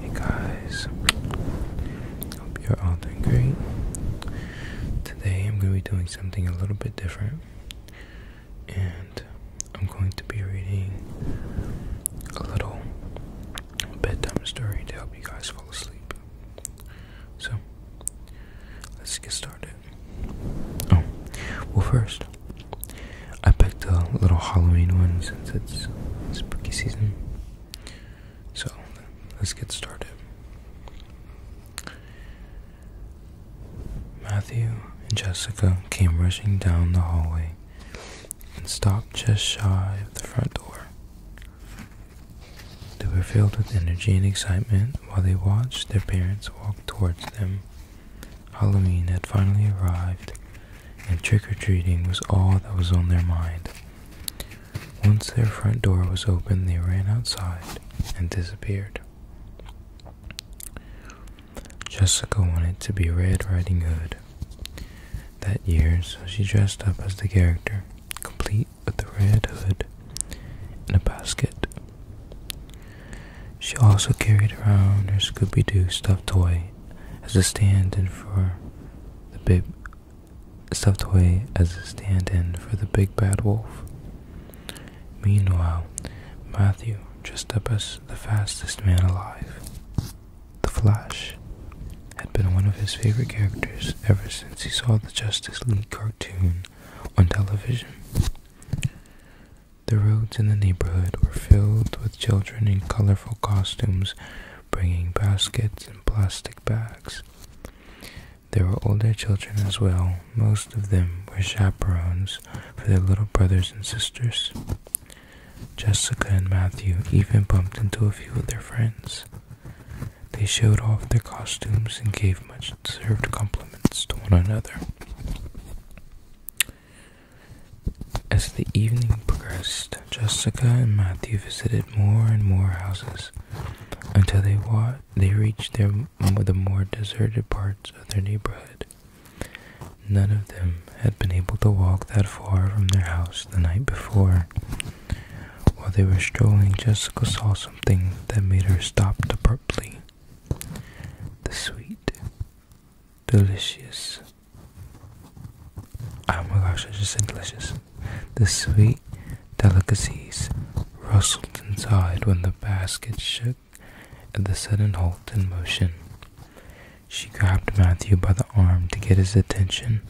Hey guys, hope you're all doing great. Today I'm going to be doing something a little bit different, and I'm going to be reading a little bedtime story to help you guys fall asleep. So, let's get started. Oh, well, first, I picked a little Halloween one since it's spooky season. So let's get started. Matthew and Jessica came rushing down the hallway and stopped just shy of the front door. They were filled with energy and excitement while they watched their parents walk towards them. Halloween had finally arrived, and trick-or-treating was all that was on their mind. Once their front door was open, they ran outside and disappeared. Jessica wanted to be Red Riding Hood that year, so she dressed up as the character, complete with the red hood and a basket. She also carried around her Scooby Doo stuffed toy as a stand-in for the big stuffed away as a stand-in for the big bad wolf. Meanwhile, Matthew just up as the fastest man alive. The Flash had been one of his favorite characters ever since he saw the Justice League cartoon on television. The roads in the neighborhood were filled with children in colorful costumes, bringing baskets and plastic bags. There were older children as well. Most of them were chaperones for their little brothers and sisters. Jessica and Matthew even bumped into a few of their friends. They showed off their costumes and gave much deserved compliments to one another. As the evening progressed, Jessica and Matthew visited more and more houses until they reached the more deserted parts of their neighborhood. None of them had been able to walk that far from their house the night before. While they were strolling, Jessica saw something that made her stop abruptly. The sweet, delicious. Oh my gosh, I just said delicious. The sweet delicacies rustled inside when the basket shook at the sudden halt in motion. She grabbed Matthew by the arm to get his attention.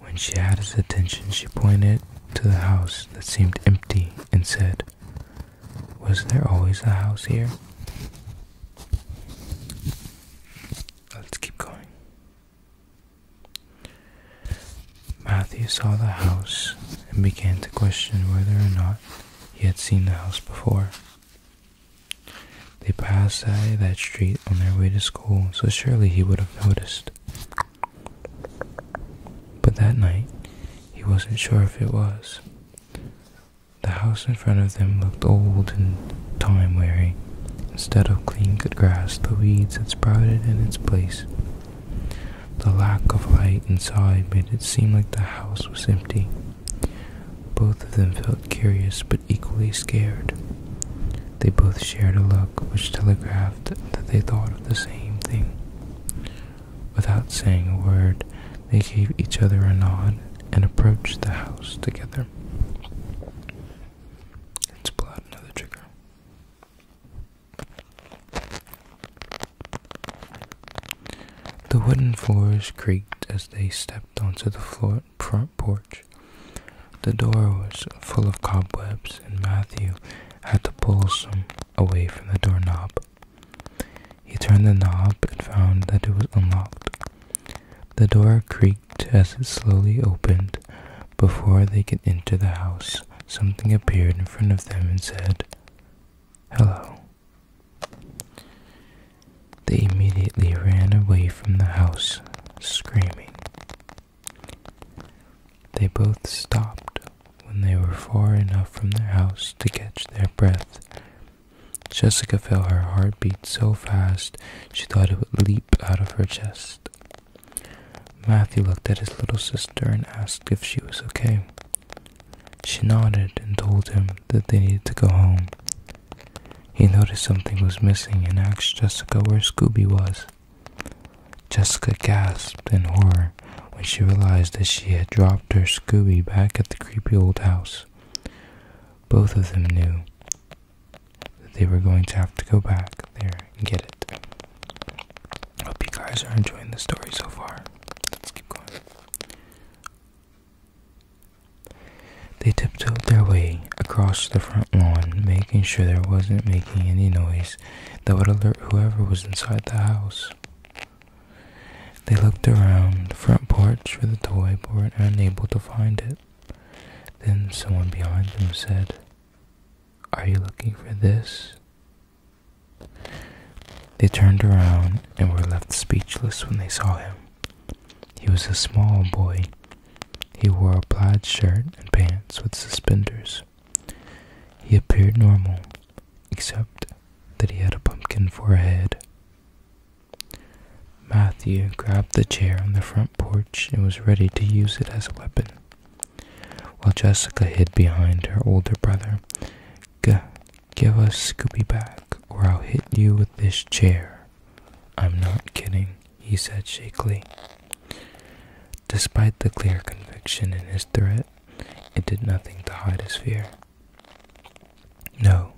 When she had his attention, she pointed to the house that seemed empty and said, was there always a house here? Let's keep going. Matthew saw the house and began to question whether or not he had seen the house before. They passed by that street on their way to school, so surely he would have noticed. But that night, he wasn't sure if it was. The house in front of them looked old and time-weary. Instead of clean good grass, the weeds had sprouted in its place. The lack of light inside made it seem like the house was empty. Both of them felt curious but equally scared. They both shared a look which telegraphed that they thought of the same thing. Without saying a word, they gave each other a nod and approached the house together. Let's another trigger. The wooden floors creaked as they stepped onto the front porch. The door was full of cobwebs, and Matthew had to pull some away from the doorknob he turned the knob and found that it was unlocked. The door creaked as it slowly opened. Before they could enter the house, something appeared in front of them and said, Hello. They immediately ran away from the house, screaming. They both stopped when they were far enough from their house to catch their breath. Jessica felt her heart beat so fast she thought it would leap out of her chest. Matthew looked at his little sister and asked if she was okay. She nodded and told him that they needed to go home. He noticed something was missing and asked Jessica where Scooby was. Jessica gasped in horror when she realized that she had dropped her Scooby back at the creepy old house. Both of them knew that they were going to have to go back there and get it. Hope you guys are enjoying the story so far. Let's keep going. They tiptoed their way across the front lawn, making sure there wasn't making any noise that would alert whoever was inside the house. They looked around the front porch for the toy but were unable to find it. Then someone behind them said, Are you looking for this? They turned around and were left speechless when they saw him. He was a small boy. He wore a plaid shirt and pants with suspenders. He appeared normal, except that he had a pumpkin for a head. Matthew grabbed the chair on the front porch and was ready to use it as a weapon, while Jessica hid behind her older brother. G- give us Scooby back, or I'll hit you with this chair. I'm not kidding he said shakily. Despite the clear conviction in his threat, it did nothing to hide his fear. No,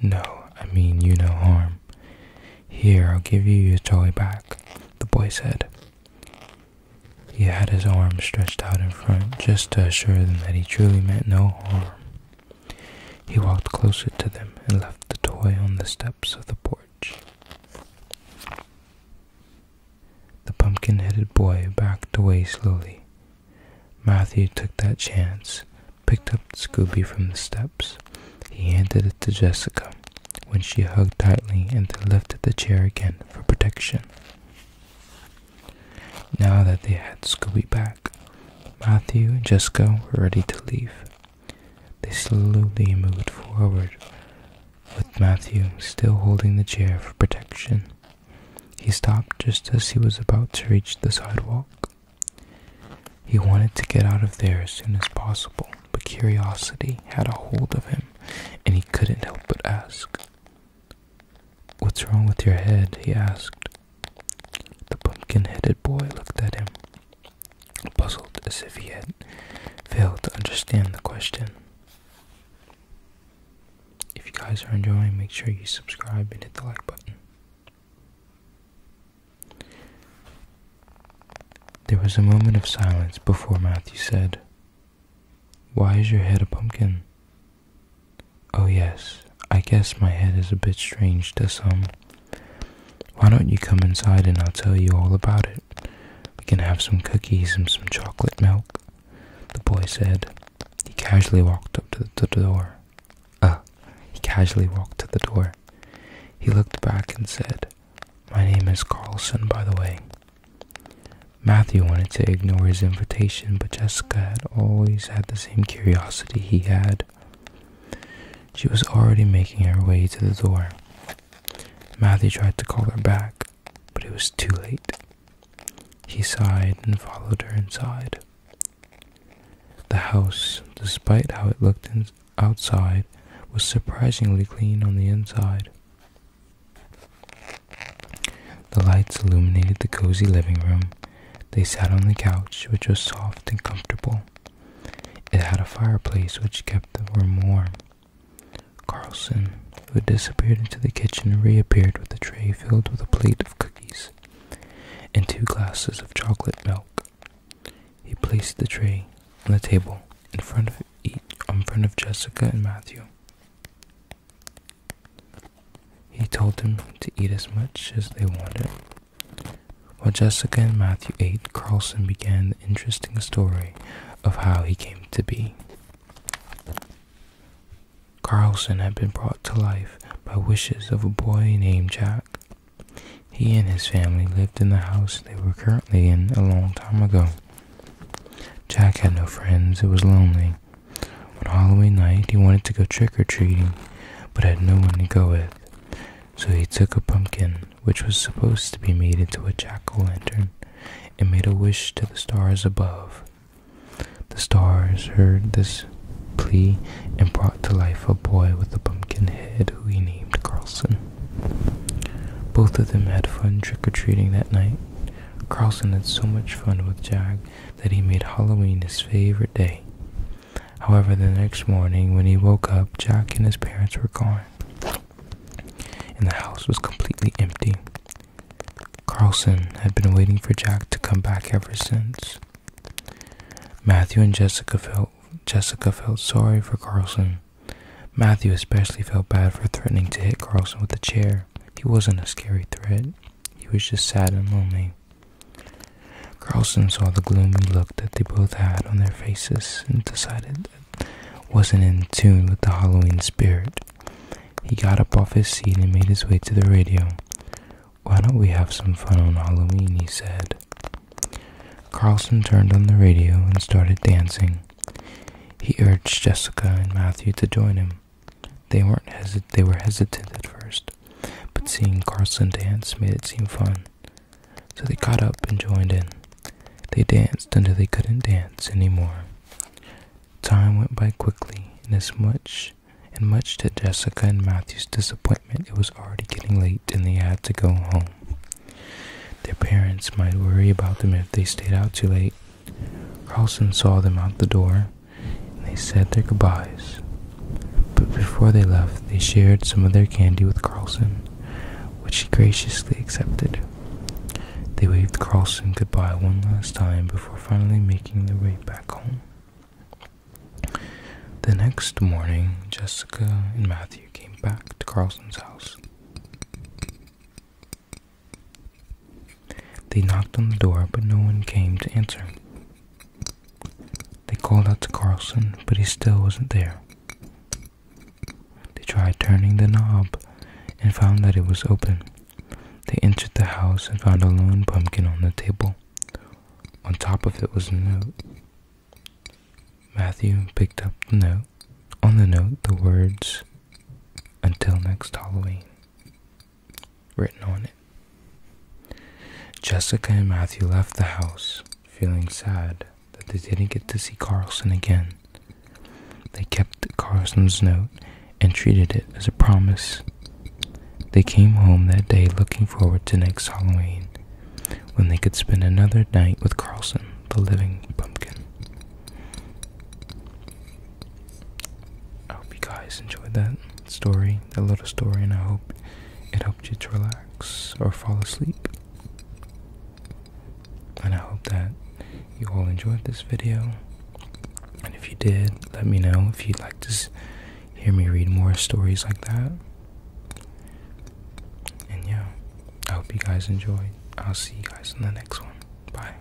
no, I mean you no harm. Here, I'll give you your toy back, the boy said. He had his arms stretched out in front just to assure them that he truly meant no harm. He walked closer to them and left the toy on the steps of the porch. The pumpkin headed boy backed away slowly. Matthew took that chance, picked up Scooby from the steps. He handed it to Jessica when she hugged tightly and then lifted the chair again for protection. Now that they had Scooby back, Matthew and Jessica were ready to leave. They slowly moved forward, with Matthew still holding the chair for protection. He stopped just as he was about to reach the sidewalk. He wanted to get out of there as soon as possible, but curiosity had a hold of him, and he couldn't help but ask. What's wrong with your head? he asked. The pumpkin headed boy looked at him puzzled as if he had failed to understand the question. If you guys are enjoying, make sure you subscribe and hit the like button. There was a moment of silence before Matthew said, Why is your head a pumpkin? Oh, yes, I guess my head is a bit strange to some. Why don't you come inside and I'll tell you all about it? We can have some cookies and some chocolate milk, the boy said. He casually walked up to the door. Uh, he casually walked to the door. He looked back and said, My name is Carlson, by the way. Matthew wanted to ignore his invitation, but Jessica had always had the same curiosity he had she was already making her way to the door. Matthew tried to call her back, but it was too late. He sighed and followed her inside. The house, despite how it looked outside, was surprisingly clean on the inside. The lights illuminated the cozy living room. They sat on the couch, which was soft and comfortable. It had a fireplace which kept the room warm. Carlson, who had disappeared into the kitchen, reappeared with a tray filled with a plate of cookies and two glasses of chocolate milk. He placed the tray on the table in front of Jessica and Matthew. He told them to eat as much as they wanted while Jessica and Matthew ate, Carlson began the interesting story of how he came to be. Carlson had been brought to life by wishes of a boy named Jack. He and his family lived in the house they were currently in a long time ago. Jack had no friends, it was lonely. On Halloween night, he wanted to go trick or treating, but had no one to go with. So he took a pumpkin, which was supposed to be made into a jack o' lantern, and made a wish to the stars above. The stars heard this plea and brought to life a boy with a pumpkin head who he named Carlson. Both of them had fun trick or treating that night. Carlson had so much fun with Jag that he made Halloween his favorite day. However, the next morning when he woke up, Jack and his parents were gone, and the house was completely empty. Carlson had been waiting for Jack to come back ever since. Matthew and Jessica felt Jessica felt sorry for Carlson. Matthew especially felt bad for threatening to hit Carlson with a chair. He wasn't a scary threat. He was just sad and lonely. Carlson saw the gloomy look that they both had on their faces and decided that wasn't in tune with the Halloween spirit. He got up off his seat and made his way to the radio. Why don't we have some fun on Halloween? he said. Carlson turned on the radio and started dancing. He urged Jessica and Matthew to join him. They weren't hesit they were hesitant at first, but seeing Carlson dance made it seem fun. So they caught up and joined in. They danced until they couldn't dance any more. Time went by quickly, and as much and much to Jessica and Matthew's disappointment, it was already getting late and they had to go home. Their parents might worry about them if they stayed out too late. Carlson saw them out the door they said their goodbyes. But before they left, they shared some of their candy with Carlson, which he graciously accepted. They waved Carlson goodbye one last time before finally making their way back home. The next morning, Jessica and Matthew came back to Carlson's house. They knocked on the door, but no one came to answer. They called out to Carlson, but he still wasn't there. They tried turning the knob and found that it was open. They entered the house and found a lone pumpkin on the table. On top of it was a note. Matthew picked up the note. On the note, the words, Until next Halloween written on it. Jessica and Matthew left the house, feeling sad that they didn't get to see Carlson again. They kept Carlson's note and treated it as a promise. They came home that day looking forward to next Halloween when they could spend another night with Carlson, the living pumpkin. I hope you guys enjoyed that story, that little story, and I hope it helped you to relax or fall asleep. And I hope that you all enjoyed this video. And if you did, let me know if you'd like to hear me read more stories like that. And yeah, I hope you guys enjoyed. I'll see you guys in the next one. Bye.